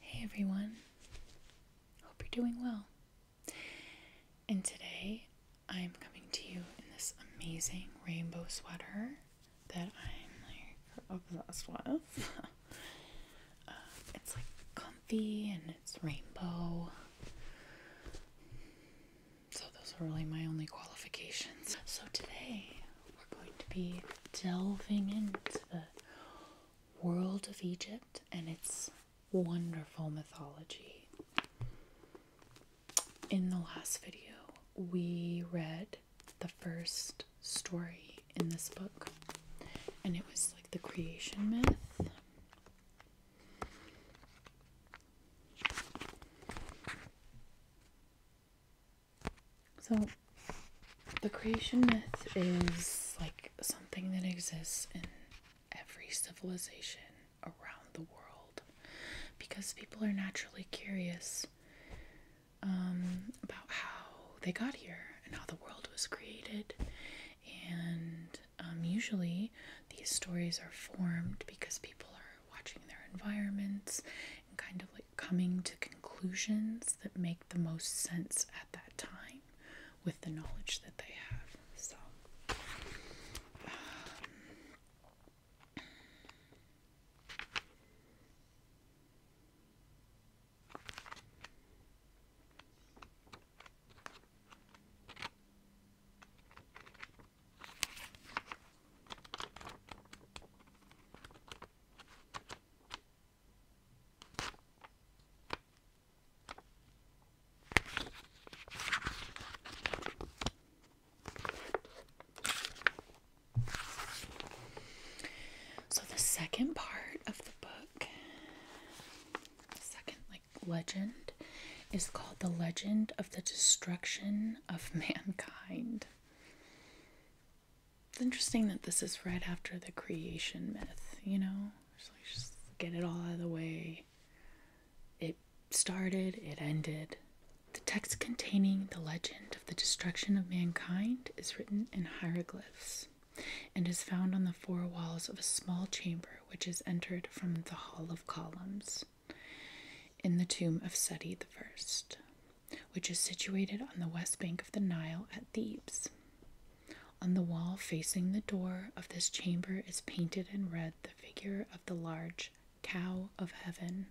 Hey everyone, hope you're doing well. And today I'm coming to you in this amazing rainbow sweater that I'm like obsessed with. uh, it's like comfy and it's rainbow. So, those are really my only qualifications. So, today we're going to be delving into the world of Egypt and its wonderful mythology. In the last video, we read the first story in this book, and it was like the creation myth. So the creation myth is like something that exists in every civilization around the world because people are naturally curious um, about how they got here and how the world was created. And um, usually these stories are formed because people are watching their environments and kind of like coming to conclusions that make the most sense at that time with the knowledge that they have. So, um, so the second part of the book, second like legend is called The Legend of the Destruction of Mankind. It's interesting that this is right after the creation myth, you know? Just, get it all out of the way. It started, it ended. The text containing the legend of the destruction of mankind is written in hieroglyphs and is found on the four walls of a small chamber which is entered from the Hall of Columns in the tomb of Seti I, which is situated on the west bank of the Nile at Thebes. On the wall facing the door of this chamber is painted in red the figure of the large cow of heaven.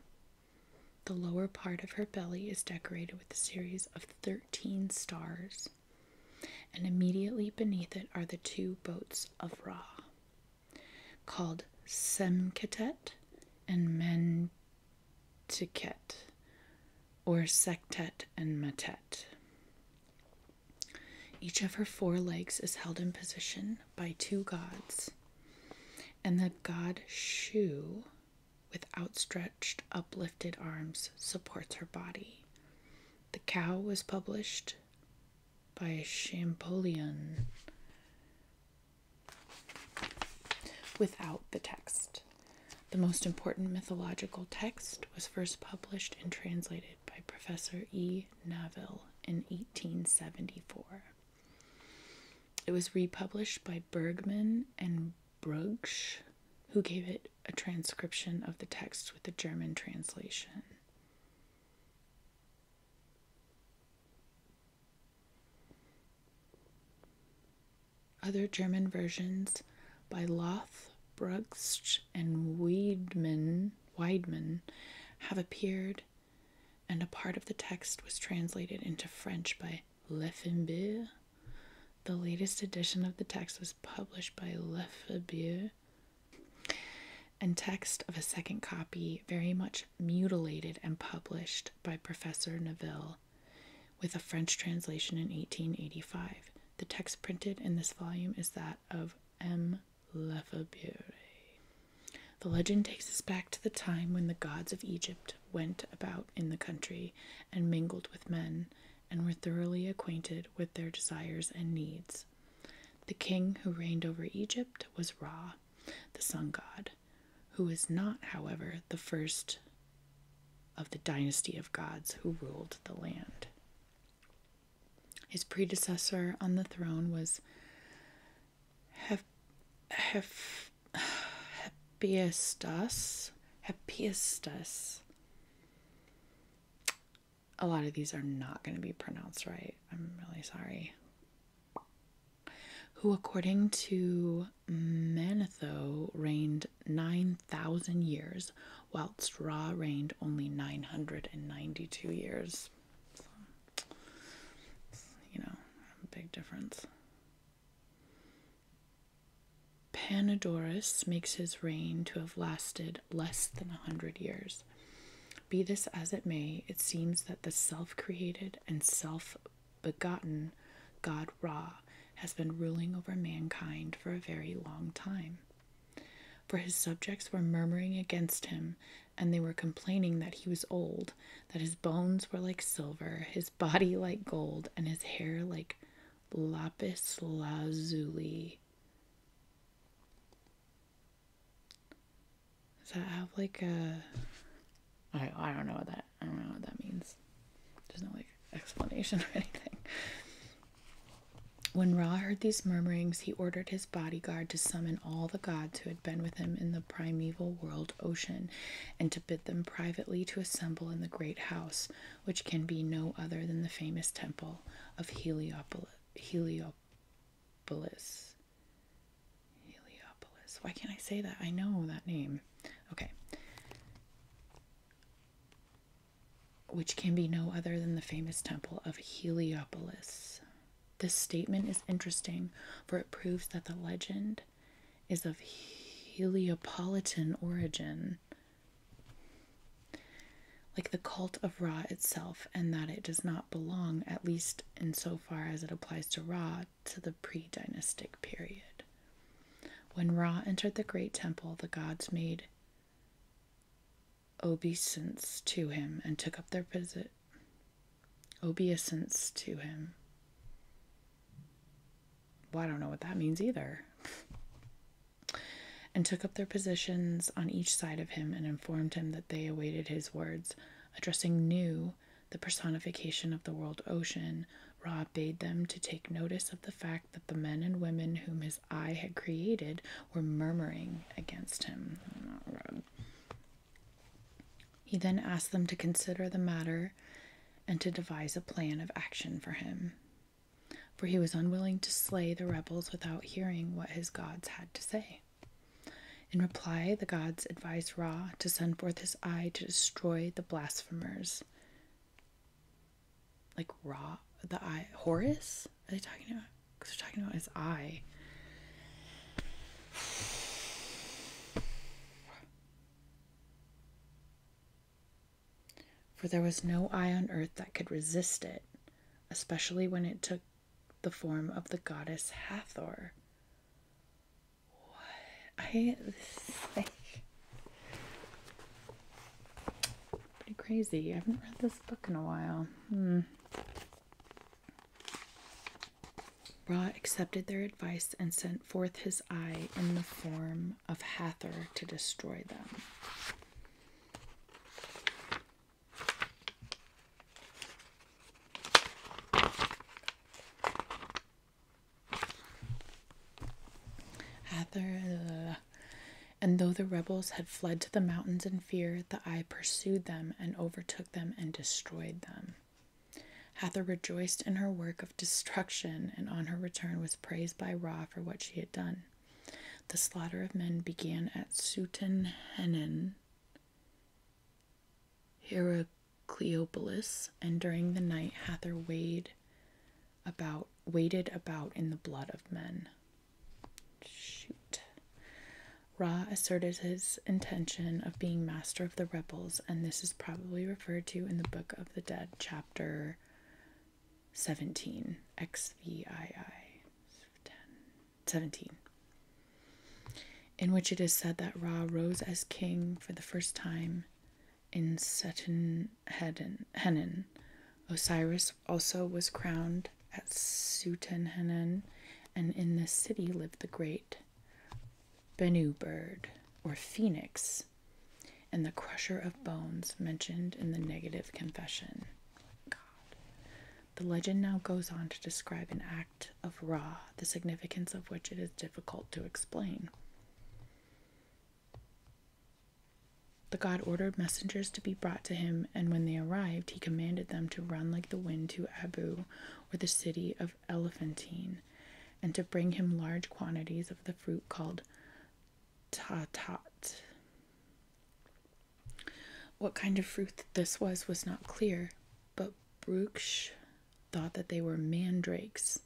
The lower part of her belly is decorated with a series of 13 stars, and immediately beneath it are the two boats of Ra, called Semketet and Men Tiket, or Sektet and Matet. Each of her four legs is held in position by two gods, and the god Shu, with outstretched, uplifted arms, supports her body. The Cow was published by Champollion without the text. The most important mythological text was first published and translated by Professor E. Naville in 1874. It was republished by Bergmann and Brugsch, who gave it a transcription of the text with a German translation. Other German versions by Loth, Brugsch, and Weidmann, Weidmann have appeared, and a part of the text was translated into French by Lefebvre. The latest edition of the text was published by Lefebvre, and text of a second copy, very much mutilated and published by Professor Neville, with a French translation in 1885. The text printed in this volume is that of M. Lefebvre. The legend takes us back to the time when the gods of Egypt went about in the country and mingled with men, and were thoroughly acquainted with their desires and needs. The king who reigned over Egypt was Ra, the sun god, who is not, however, the first of the dynasty of gods who ruled the land. His predecessor on the throne was Hep, Hep, Hephaestus. Hephaestus. A lot of these are not going to be pronounced right. I'm really sorry. Who, according to Manetho, reigned 9,000 years, whilst Ra reigned only 992 years. you know, big difference. Panodorus makes his reign to have lasted less than a hundred years. Be this as it may, it seems that the self created and self begotten God Ra has been ruling over mankind for a very long time. For his subjects were murmuring against him, and they were complaining that he was old, that his bones were like silver, his body like gold, and his hair like lapis lazuli. Does that have like a? I I don't know what that I don't know what that means there's no like explanation or anything. When Ra heard these murmurings, he ordered his bodyguard to summon all the gods who had been with him in the primeval world ocean and to bid them privately to assemble in the great house, which can be no other than the famous temple of Heliopolis. Heliopolis. Why can't I say that? I know that name. Okay which can be no other than the famous temple of Heliopolis. This statement is interesting, for it proves that the legend is of Heliopolitan origin, like the cult of Ra itself, and that it does not belong, at least in so far as it applies to Ra, to the pre dynastic period. When Ra entered the Great Temple, the gods made obeisance to him and took up their posi- obeisance to him. Well, I don't know what that means either. and took up their positions on each side of him and informed him that they awaited his words. Addressing Nu, the personification of the world ocean, Ra bade them to take notice of the fact that the men and women whom his I had created were murmuring against him. He then asked them to consider the matter and to devise a plan of action for him, for he was unwilling to slay the rebels without hearing what his gods had to say. In reply, the gods advised Ra to send forth his eye to destroy the blasphemers like raw the eye Horus? Are they talking about? Because they're talking about his eye. For there was no eye on earth that could resist it, especially when it took the form of the goddess Hathor. What I like pretty crazy. I haven't read this book in a while. Hmm. Ra accepted their advice and sent forth his eye in the form of Hathor to destroy them. Hathor, uh, and though the rebels had fled to the mountains in fear, the eye pursued them and overtook them and destroyed them. Hathor rejoiced in her work of destruction and on her return was praised by Ra for what she had done. The slaughter of men began at Sutenhenin, Heracleopolis, and during the night Hathor weighed about waited about in the blood of men. Shoot. Ra asserted his intention of being master of the rebels, and this is probably referred to in the Book of the Dead, chapter 17, XVII, 10, 17, in which it is said that Ra rose as king for the first time in Seton Henan. Osiris also was crowned at Sutanhanan, and in this city lived the great Bennu bird, or phoenix, and the crusher of bones mentioned in the negative confession. God. The legend now goes on to describe an act of Ra, the significance of which it is difficult to explain. The god ordered messengers to be brought to him, and when they arrived, he commanded them to run like the wind to Abu, or the city of Elephantine, and to bring him large quantities of the fruit called tatat. What kind of fruit this was was not clear, but Bruksh thought that they were mandrakes,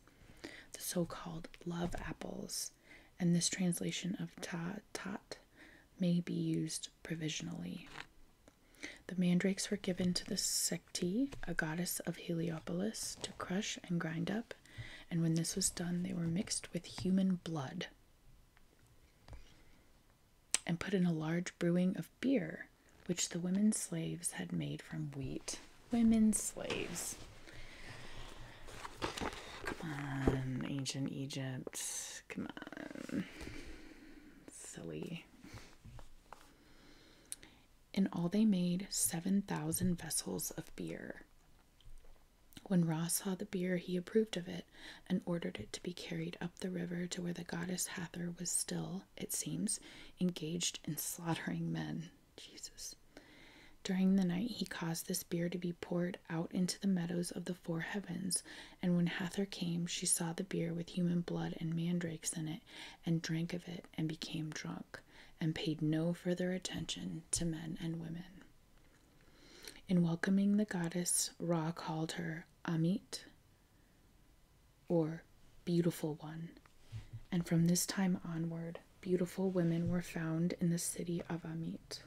the so called love apples and this translation of ta tat may be used provisionally. The mandrakes were given to the Secti, a goddess of Heliopolis, to crush and grind up, and when this was done, they were mixed with human blood and put in a large brewing of beer, which the women slaves had made from wheat. Women slaves. Come on, ancient Egypt. Come on. Silly. In all, they made 7,000 vessels of beer. When Ra saw the beer, he approved of it and ordered it to be carried up the river to where the goddess Hathor was still, it seems, engaged in slaughtering men. Jesus. During the night, he caused this beer to be poured out into the meadows of the four heavens. And when Hathor came, she saw the beer with human blood and mandrakes in it, and drank of it, and became drunk, and paid no further attention to men and women. In welcoming the goddess, Ra called her Amit, or Beautiful One. And from this time onward, beautiful women were found in the city of Amit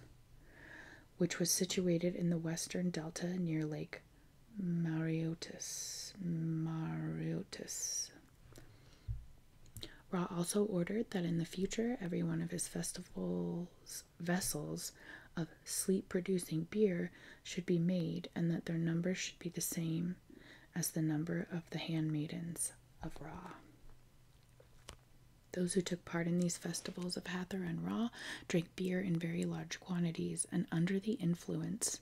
which was situated in the western delta near Lake Mariotis. Ra also ordered that in the future every one of his festival's vessels of sleep producing beer should be made, and that their number should be the same as the number of the handmaidens of Ra. Those who took part in these festivals of Hathor and Ra drank beer in very large quantities, and under the influence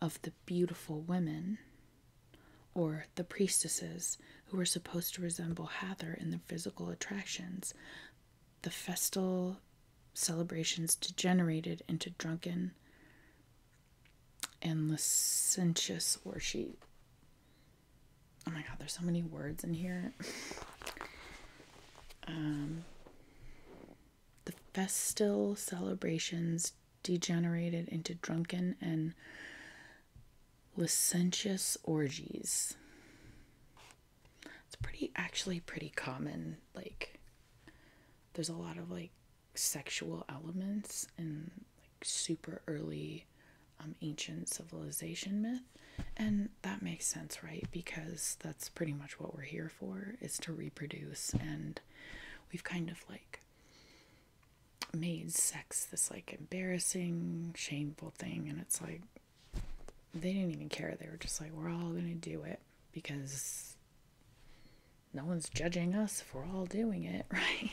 of the beautiful women, or the priestesses, who were supposed to resemble Hathor in their physical attractions, the festal celebrations degenerated into drunken and licentious worship oh my god, there's so many words in here. Um, the festal celebrations degenerated into drunken and licentious orgies. It's pretty, actually, pretty common. Like, there's a lot of like sexual elements in like super early um, ancient civilization myth. And that makes sense, right? Because that's pretty much what we're here for is to reproduce. And we've kind of like made sex this like embarrassing, shameful thing. And it's like, they didn't even care. They were just like, we're all going to do it because no one's judging us for all doing it, right?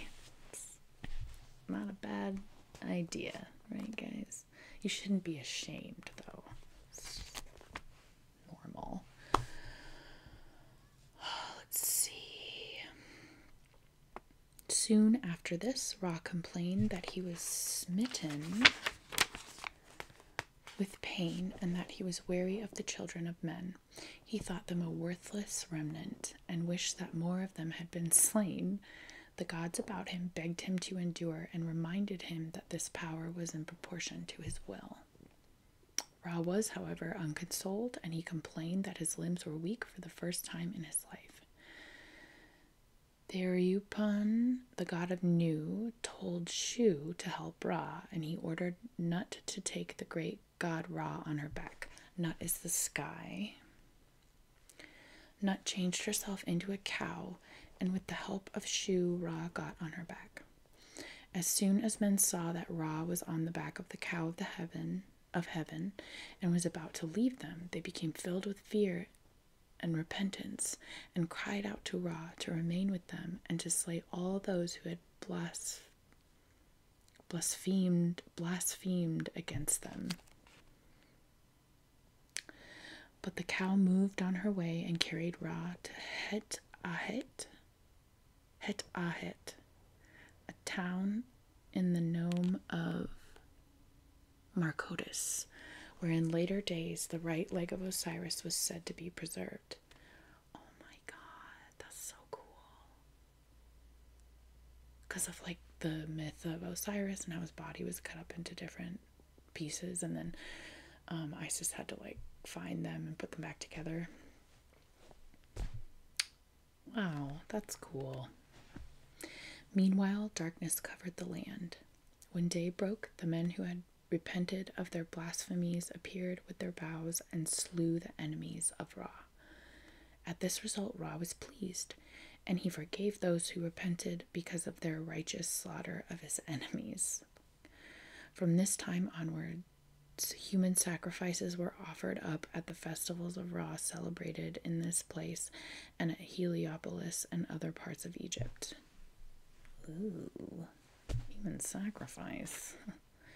not a bad idea, right, guys? You shouldn't be ashamed, though. normal. Let's see. Soon after this, Ra complained that he was smitten with pain and that he was weary of the children of men. He thought them a worthless remnant and wished that more of them had been slain the gods about him begged him to endure and reminded him that this power was in proportion to his will. Ra was, however, unconsoled, and he complained that his limbs were weak for the first time in his life. Thereupon, the god of Nu told Shu to help Ra, and he ordered Nut to take the great god Ra on her back. Nut is the sky. Nut changed herself into a cow and with the help of Shu, Ra got on her back. As soon as men saw that Ra was on the back of the cow of the heaven of heaven and was about to leave them, they became filled with fear and repentance and cried out to Ra to remain with them and to slay all those who had blasphemed blasphemed blasphemed against them but the cow moved on her way and carried Ra to Het Ahet, Het Ahet, a town in the nome of Marcotis, where in later days the right leg of Osiris was said to be preserved. Oh my god, that's so cool because of like the myth of Osiris and how his body was cut up into different pieces, and then um, Isis had to like find them and put them back together. Wow, that's cool. Meanwhile, darkness covered the land. When day broke, the men who had repented of their blasphemies appeared with their bows and slew the enemies of Ra. At this result, Ra was pleased, and he forgave those who repented because of their righteous slaughter of his enemies. From this time onward, human sacrifices were offered up at the festivals of Ra celebrated in this place and at Heliopolis and other parts of Egypt. Ooh, human sacrifice.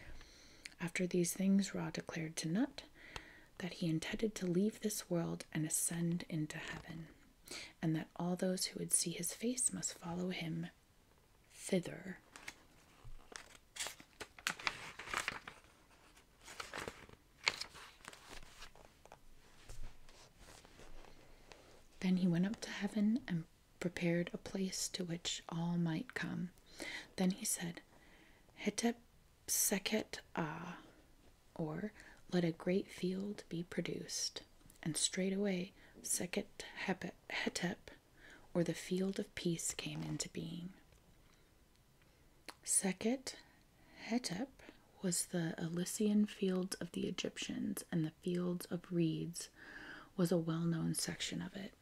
After these things, Ra declared to Nut, that he intended to leave this world and ascend into heaven, and that all those who would see his face must follow him thither. Then he went up to heaven and prepared a place to which all might come. Then he said, Hetep Sekhet Ah, or let a great field be produced, and straightway Sekhet Hetep, or the field of peace, came into being. Sekhet Hetep was the Elysian field of the Egyptians, and the fields of reeds was a well known section of it.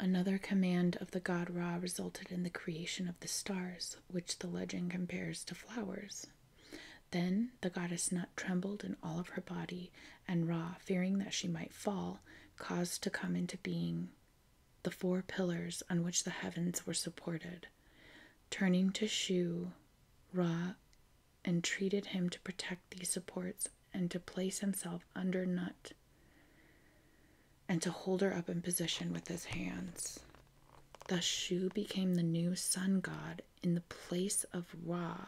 Another command of the god Ra resulted in the creation of the stars, which the legend compares to flowers. Then the goddess Nut trembled in all of her body, and Ra, fearing that she might fall, caused to come into being the four pillars on which the heavens were supported. Turning to Shu, Ra entreated him to protect these supports and to place himself under Nut and to hold her up in position with his hands. Thus, Shu became the new sun god in the place of Ra,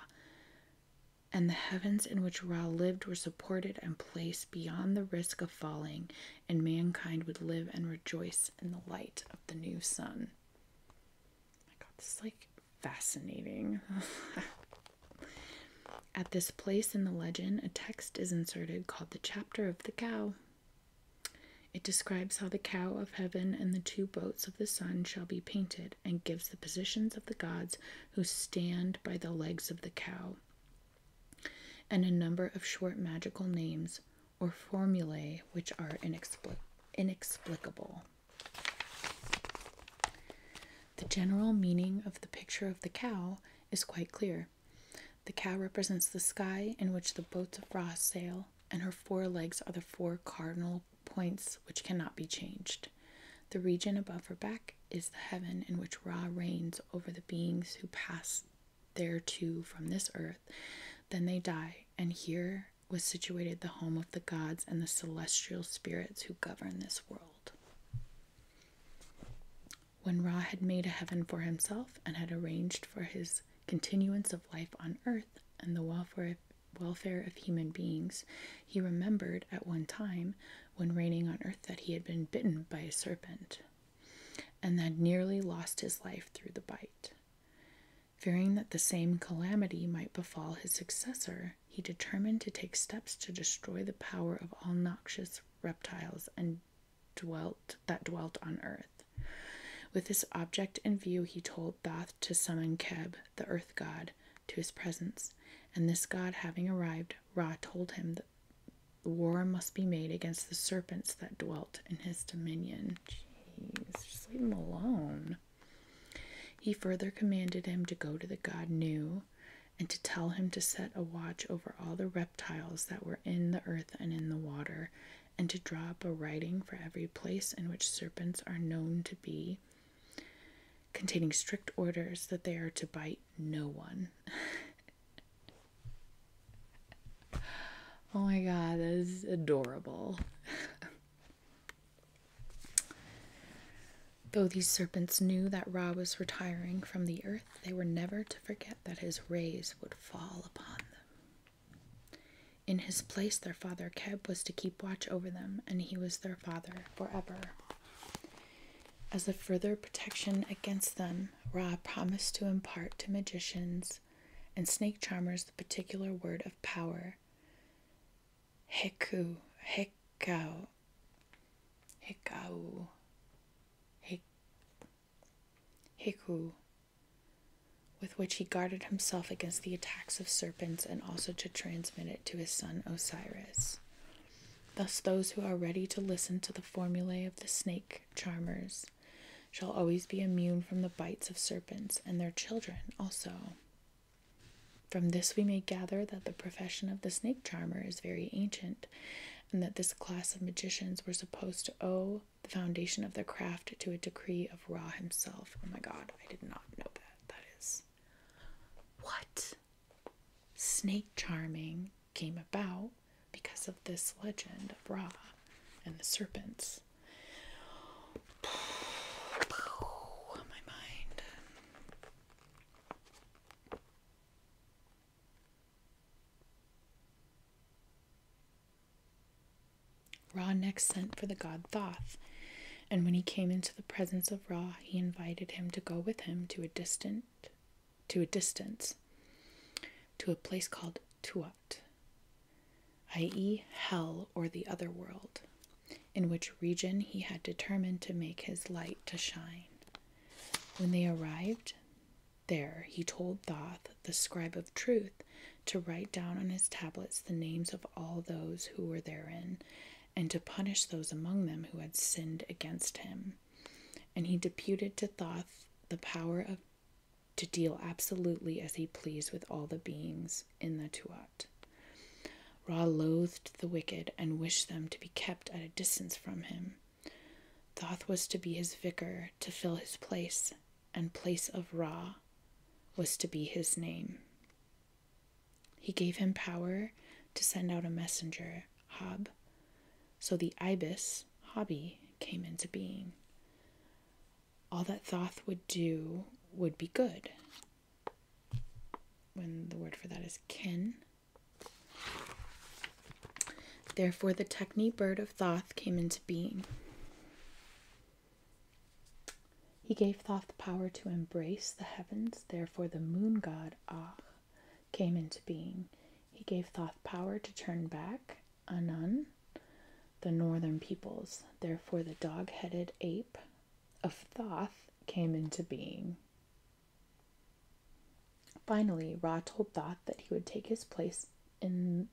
and the heavens in which Ra lived were supported and placed beyond the risk of falling, and mankind would live and rejoice in the light of the new sun. my god, this is like fascinating. At this place in the legend, a text is inserted called the Chapter of the Cow. It describes how the cow of heaven and the two boats of the sun shall be painted, and gives the positions of the gods who stand by the legs of the cow, and a number of short magical names or formulae which are inexplicable. The general meaning of the picture of the cow is quite clear. The cow represents the sky in which the boats of Ra sail, and her four legs are the four cardinal points which cannot be changed. The region above her back is the heaven in which Ra reigns over the beings who pass thereto from this earth. Then they die, and here was situated the home of the gods and the celestial spirits who govern this world. When Ra had made a heaven for himself and had arranged for his continuance of life on earth and the welfare, welfare of human beings, he remembered at one time when reigning on earth that he had been bitten by a serpent and had nearly lost his life through the bite. Fearing that the same calamity might befall his successor, he determined to take steps to destroy the power of all noxious reptiles and dwelt that dwelt on earth. With this object in view, he told Thoth to summon Keb, the earth god, to his presence, and this god having arrived, Ra told him that war must be made against the serpents that dwelt in his dominion. Jeez, just leave him alone. He further commanded him to go to the god Nu and to tell him to set a watch over all the reptiles that were in the earth and in the water, and to draw up a writing for every place in which serpents are known to be, containing strict orders that they are to bite no one. oh my god, that is adorable. Though these serpents knew that Ra was retiring from the earth, they were never to forget that his rays would fall upon them. In his place, their father Keb was to keep watch over them, and he was their father forever. As a further protection against them, Ra promised to impart to magicians and snake charmers the particular word of power Heku, Hekau, Hekau, Heku, with which he guarded himself against the attacks of serpents and also to transmit it to his son Osiris. Thus, those who are ready to listen to the formulae of the snake charmers shall always be immune from the bites of serpents, and their children also. From this, we may gather that the profession of the snake charmer is very ancient, and that this class of magicians were supposed to owe the foundation of their craft to a decree of Ra himself. Oh my god, I did not know that. That is. What? Snake charming came about because of this legend of Ra and the serpents. my mind. Ra next sent for the god Thoth, and when he came into the presence of Ra, he invited him to go with him to a distant to a distance to a place called Tuat, i.e., hell or the other world, in which region he had determined to make his light to shine. When they arrived, there he told Thoth, the scribe of truth, to write down on his tablets the names of all those who were therein, and to punish those among them who had sinned against him. And he deputed to Thoth the power of to deal absolutely as he pleased with all the beings in the Tuat. Ra loathed the wicked and wished them to be kept at a distance from him. Thoth was to be his vicar, to fill his place, and place of Ra was to be his name. He gave him power to send out a messenger, Hob, so the ibis, Hobby, came into being. All that Thoth would do would be good. When the word for that is kin. Therefore, the Techni bird of Thoth came into being. He gave Thoth the power to embrace the heavens, therefore, the moon god Ah came into being. He gave Thoth power to turn back Anun, the northern peoples, therefore, the dog headed ape of Thoth came into being. Finally, Ra told Thoth that he would take his place in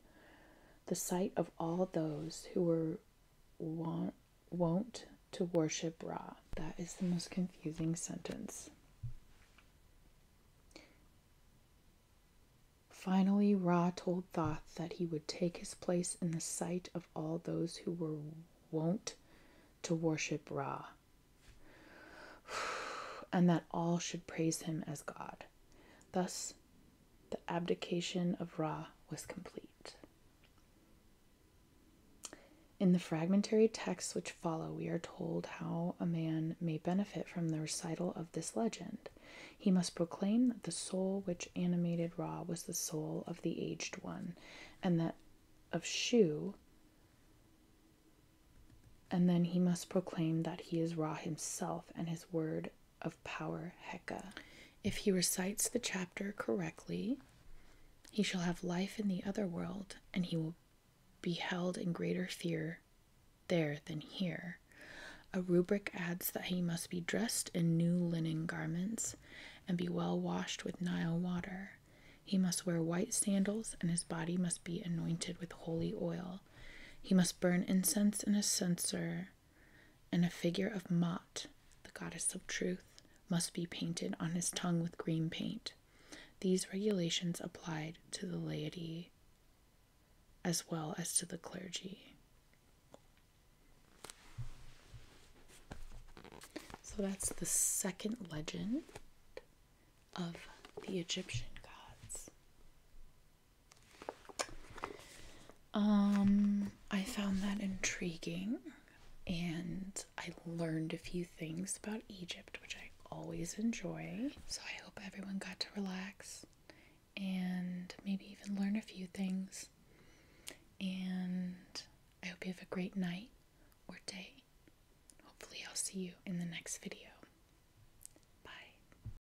the sight of all those who were want, wont to worship Ra. That is the most confusing sentence. Finally, Ra told Thoth that he would take his place in the sight of all those who were wont to worship Ra, and that all should praise him as God. Thus, the abdication of Ra was complete. In the fragmentary texts which follow, we are told how a man may benefit from the recital of this legend. He must proclaim that the soul which animated Ra was the soul of the aged one, and that of Shu, and then he must proclaim that he is Ra himself and his word of power Heka. If he recites the chapter correctly, he shall have life in the other world, and he will be held in greater fear there than here. A rubric adds that he must be dressed in new linen garments and be well washed with Nile water. He must wear white sandals, and his body must be anointed with holy oil. He must burn incense in a censer, and a figure of Mott, the goddess of truth, must be painted on his tongue with green paint. These regulations applied to the laity as well as to the clergy. So that's the second legend of the Egyptian gods. Um, I found that intriguing and I learned a few things about Egypt, which I always enjoy. So I hope everyone got to relax and maybe even learn a few things. And I hope you have a great night or day. Hopefully, I'll see you in the next video.